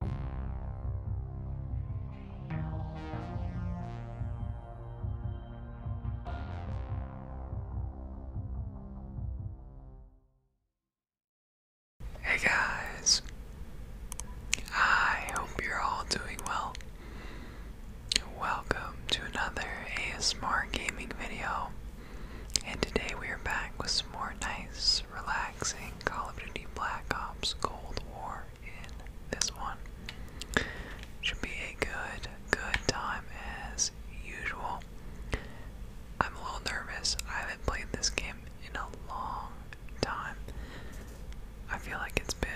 Hey guys, I hope you're all doing well. Welcome to another ASMR gaming video, and today we are back with some more nice, relaxing relaxing Call of Duty Black Ops Cold War in this one. Should be a good, good time as usual. I'm a little nervous. I haven't played this game in a long time. I feel like it's been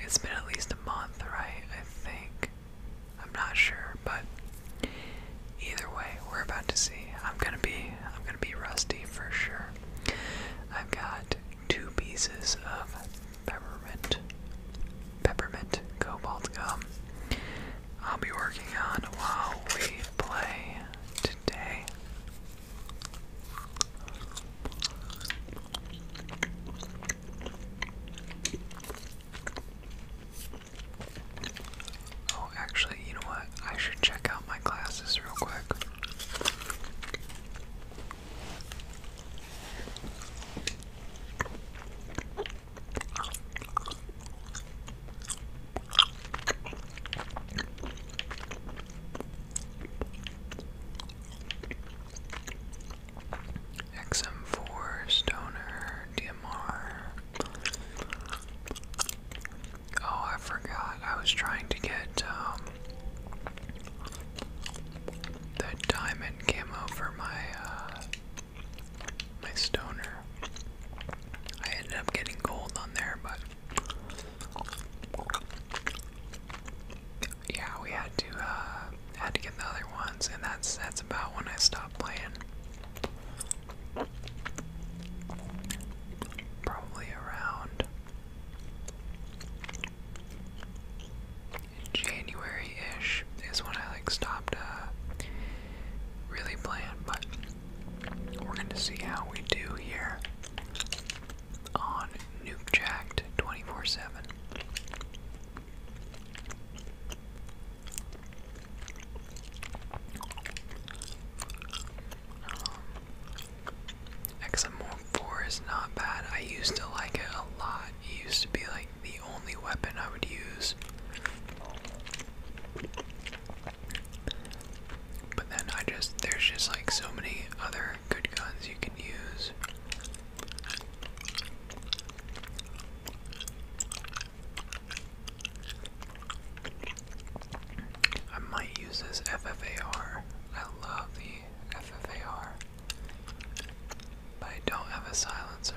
it's been at least a month, right? I think. I'm not sure, but Either way, we're about to see. I'm gonna be I'm gonna be rusty for sure. I've got two pieces of peppermint peppermint cobalt gum. I'll be working on while we play today. Oh, actually, you know what? I should check out my classes real quick. XM4, Stoner, DMR, Oh, I forgot. I was trying to get um, the diamond camo for my uh, my stoner. I ended up getting gold on there, but yeah, we had to uh, had to get the other ones, and that's that's about when I stopped playing. Probably around January ish is when I like stopped uh, really plan, but we're gonna see how we do here on Nuke Jacked 24 7. Um, XM4 is not bad. I used to like it a lot. It used to be like the only weapon I would use. But then I just, there's just like so many other good guns you can use. I might use this FFAR. I love the FFAR. But I don't have a silencer.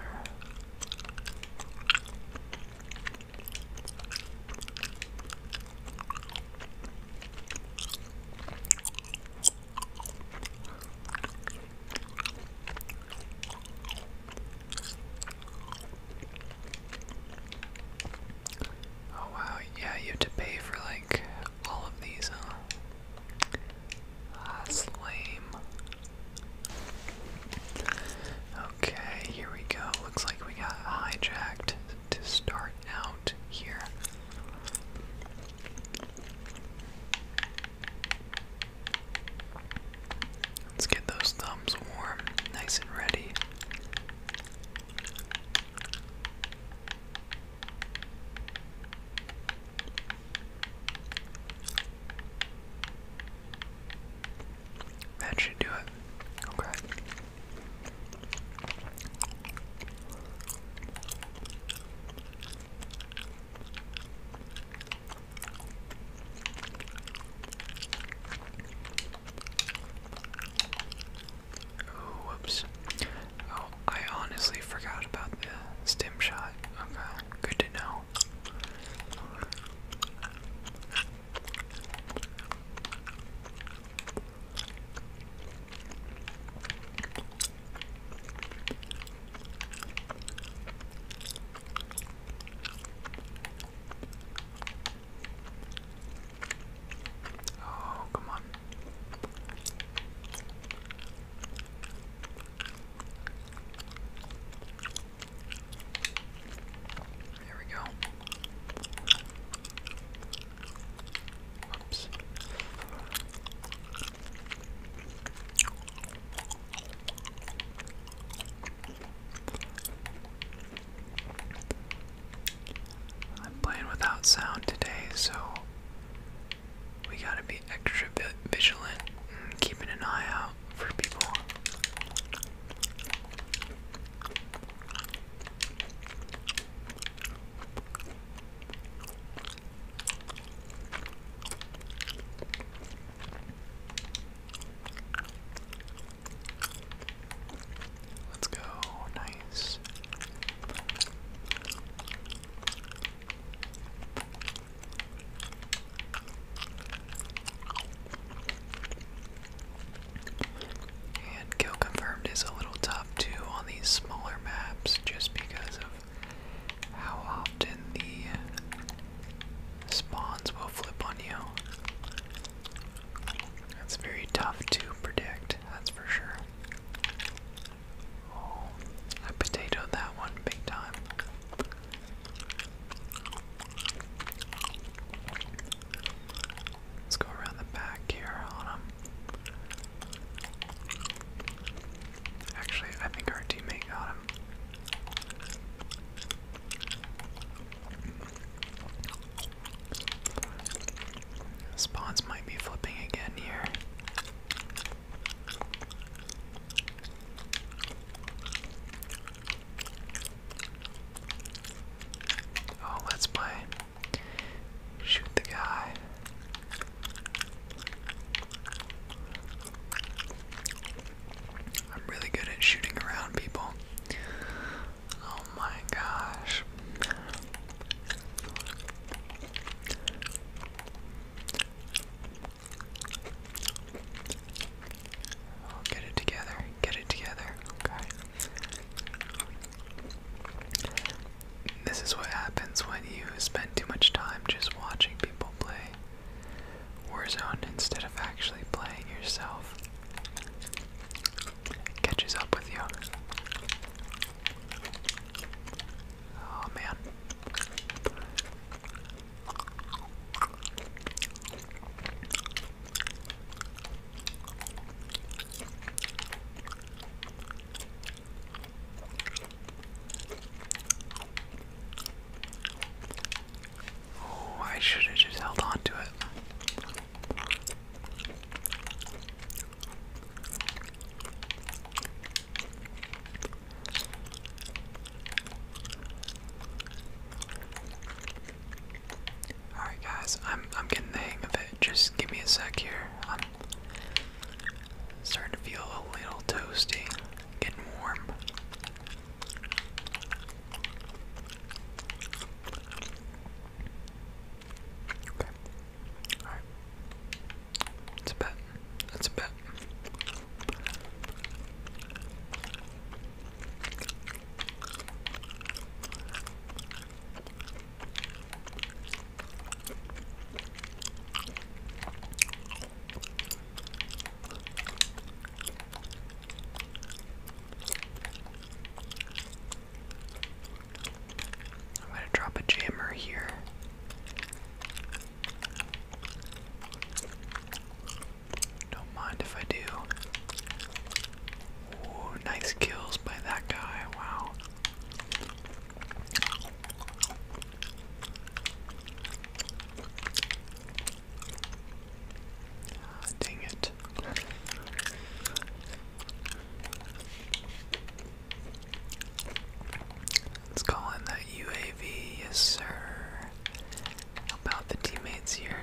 Oh wow, yeah, you have to pay for like all of these, huh? lame. Okay, here we go. Looks like we got hijacked to start out here. Let's get those thumbs warm, nice and ready. That should do it. Okay. Oh, Oh, I honestly forgot about the stim shot. Okay, good to know. Oh, come on. There we go. Oops. I'm playing without sound today, so we gotta be extra vigilant and keeping an eye out for people. Let's go. Nice. And kill confirmed is a little tough too on these smaller maps just because of how often the spawns will flip on you. It's very tough to predict, that's for sure. Oh, I potatoed that one big time. Let's go around the back here on him. Actually, I think our teammate got him. Spawns might be flipping again here. Oh, let's play. Shoot the guy. I'm really good at shooting around people. Oh my gosh. Oh, get it together. Get it together. Okay. This is what happens when you spend too much time just watching people play. Warzone instead of actually playing yourself. catches up with you. Oh man. Oh, I should have just held on to it. Alright guys, I'm I'm getting the hang of it. Just give me a sec here. I'm starting to feel a little toasty, getting warm. Okay. Alright. It's a bet. That's a bet. I'm gonna drop a jammer here. Don't mind if I do. nice kills by that guy. Wow. Ah, dang it. Let's call in that UAV, yes sir. Help the teammates here.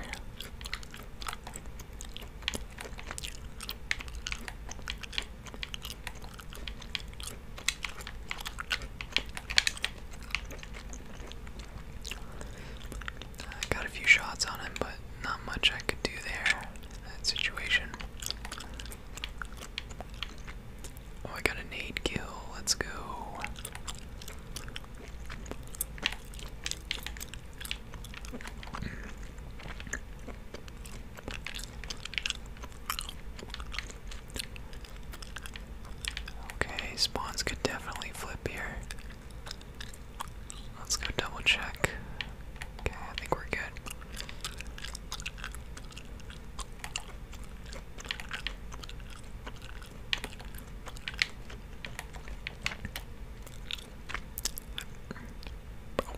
I got a few shots on him, but not much I could do there in that situation. Oh, I got a nade kill. Let's go. Okay, spawns could definitely flip here. Let's go double check. Okay, I think we're good.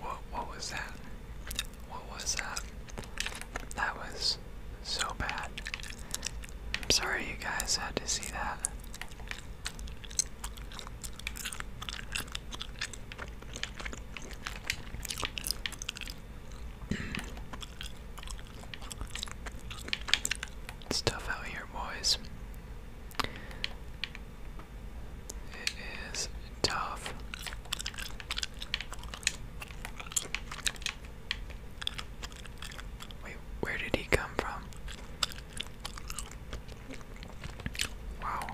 What, what was that? What was that? That was so bad. I'm sorry you guys had to see that. It's tough out here, boys. It is tough. Wait, where did he come from? Wow.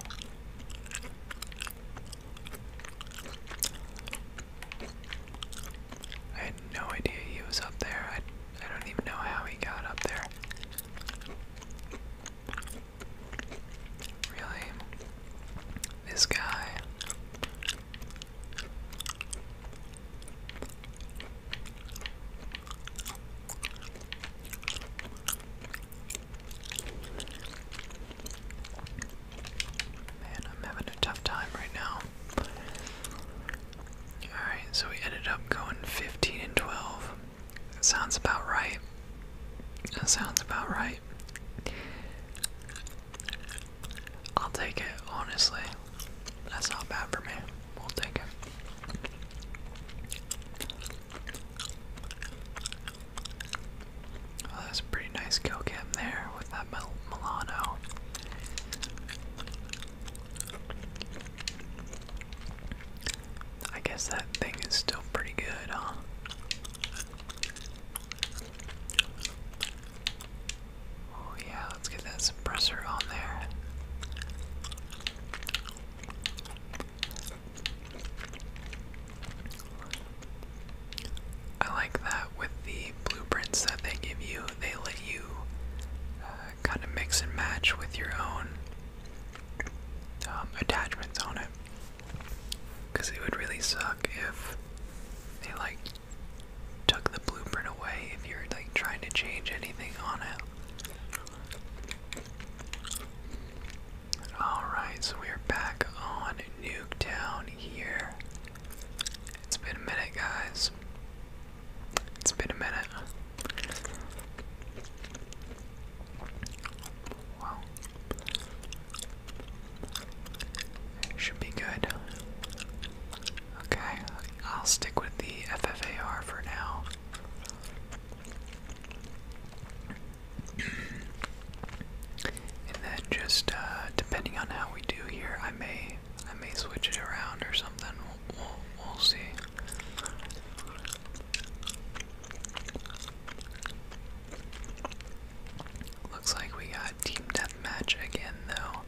I had no idea he was up there. I, I don't even know how he got up there. Really? This guy Man, I'm having a tough time right now. Alright, so we ended up going 15 and 12. That sounds about right. That sounds about right. I'll take it, honestly. That's not bad for me. We'll take it. Oh, that's a pretty nice kill there with that Milano. I guess that thing is still pretty good, huh? Oh yeah, let's get that suppressor on there. I like that with the blueprints that they give you, they let you uh, kind of mix and match with your own um, attachments on it. Because it would really suck if they like took the blueprint away if you're like trying to change anything on it. Alright, so we're back on Nuketown here. It's been a minute, guys. It's been a minute. Wow. Should be good. Okay, I'll stick with the FFAR for now. And then just uh, depending on how we do here, I may I may switch it around or something. we'll, we'll see. Looks like we got team deathmatch again, though.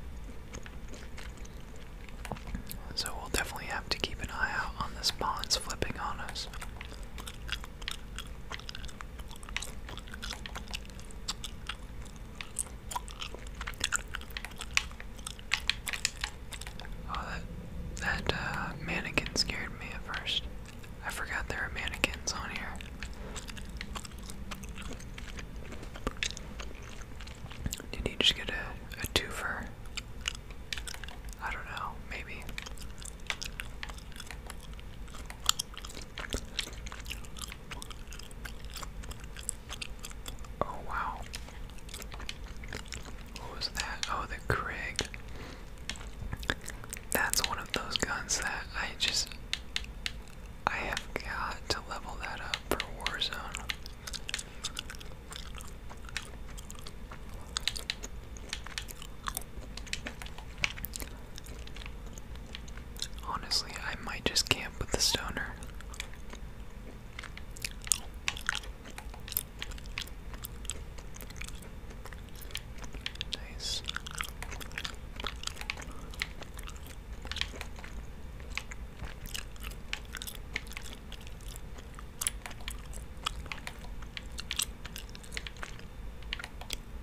So we'll definitely have to keep an eye out on the spawns flipping on us. Oh, that, that uh, mannequin scared me at first. I forgot there are mannequins on here. Did he just get a, a twofer? I don't know, maybe. Oh wow. What was that? Oh, the Krig that's one of those guns that I just I have got to level that up for Warzone. Honestly, I might just camp with the stoner.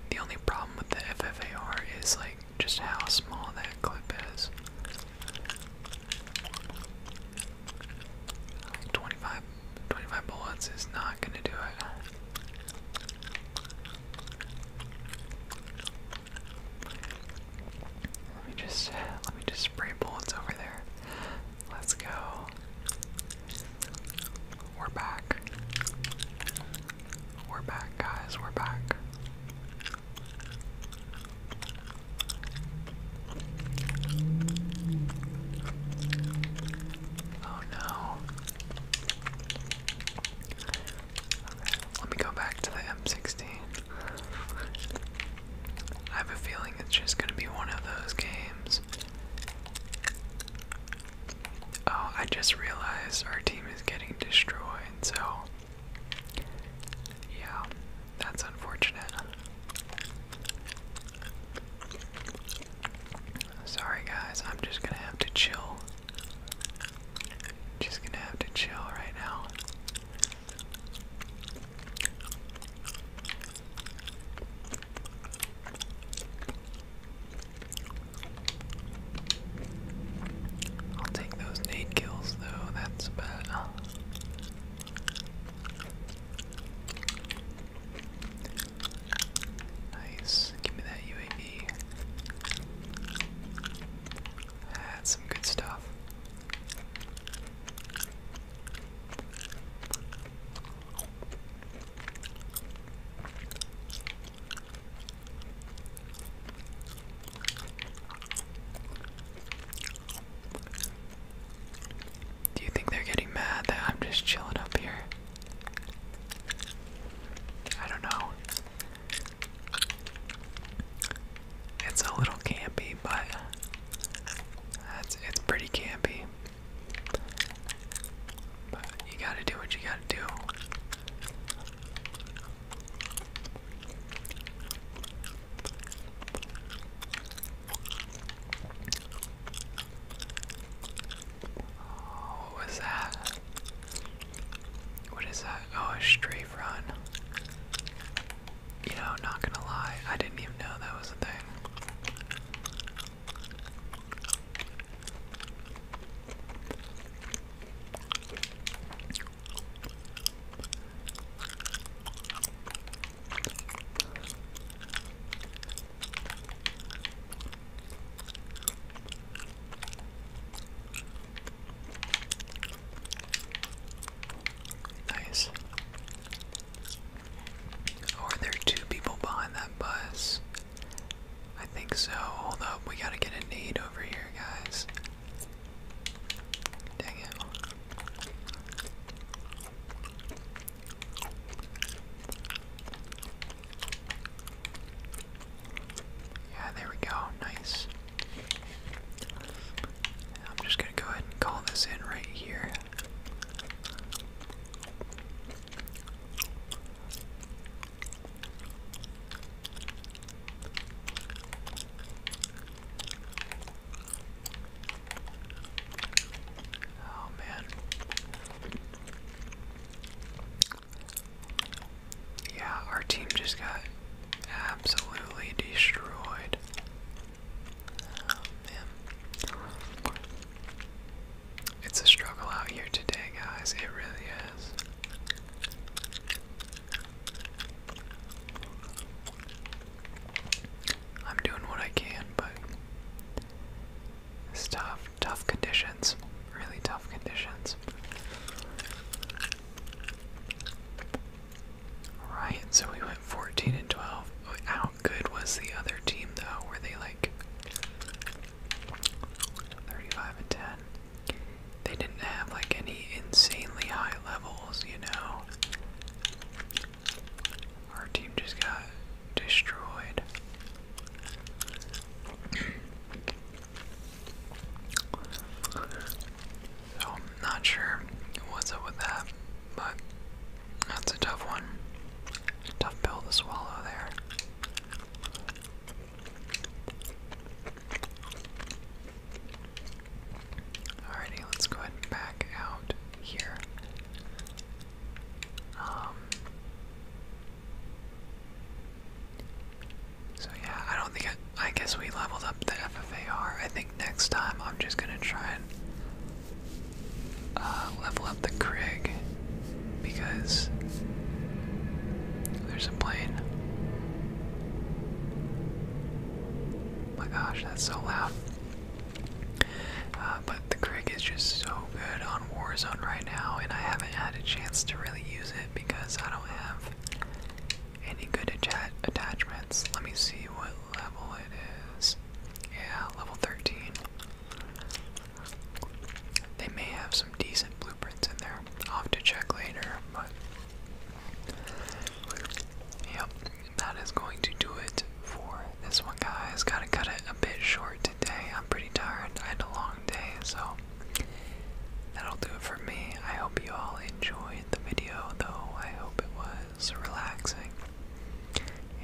The only problem with the FFAR is like just how small that clip is. Like 25, bullets is not gonna do it. Let me just let me just spray bullets over there. Let's go. We're back. We're back, guys. We're back. Oh no let me go back to the M16. I have a feeling it's just gonna be one of those games. Oh, I just realized our team is getting destroyed, so. Yeah, that's unfortunate. Sorry guys, I'm just gonna have to chill. Just gonna have to chill right now. I'll take those nade kills though, that's about Nice. Give me that UAV. That's some good stuff. Do you think they're getting mad that I'm just chilling up here? I don't know. It's a little campy, but it's, it's pretty campy. But you gotta do what you gotta do. Oh, what was that? What is that? Oh, a strafe run. You know, not gonna lie, I didn't even know that was a thing. Nice. are there two people behind that bus? I think so. Hold up, we gotta get a need over here, guys. Dang it. Yeah, there we go. Nice. I'm just going to go ahead and call this in right here. Oh man. Yeah, our team just got absolutely destroyed. Oh, it's a struggle out here today, guys. It really is. I'm doing what I can, but it's tough, tough conditions. Really tough conditions. Right, so we went 14 and 12. How good was the other team though? Were they like 35 and 10? They didn't have like any insanely high levels, you know? Our team just got destroyed. So I'm not sure what's up with that, but that's a tough one. Tough pill to swallow there. Alrighty, let's go ahead and back out here. Um, so yeah, I don't think I, guess we leveled up the FFAR. I think next time I'm just gonna try and uh, level up the Krig because there's a plane. Oh my gosh, that's so loud. Uh, but the Crick is just so good on Warzone right now, and I haven't had a chance to really use it because I don't have any good att attachments. Let me see what level it is. Yeah, level 13. They may have some decent blueprints in there. i have to check later, but. Yep, that is going to do it for this one, guy guys, gotta cut it a bit short today. I'm pretty tired. I had a long day, so that'll do it for me. I hope you all enjoyed the video, though. I hope it was relaxing.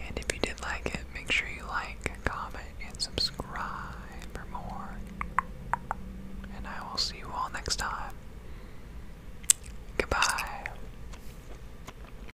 And if you did like it, make sure you like, comment, and subscribe for more. And I will see you all next time. Goodbye.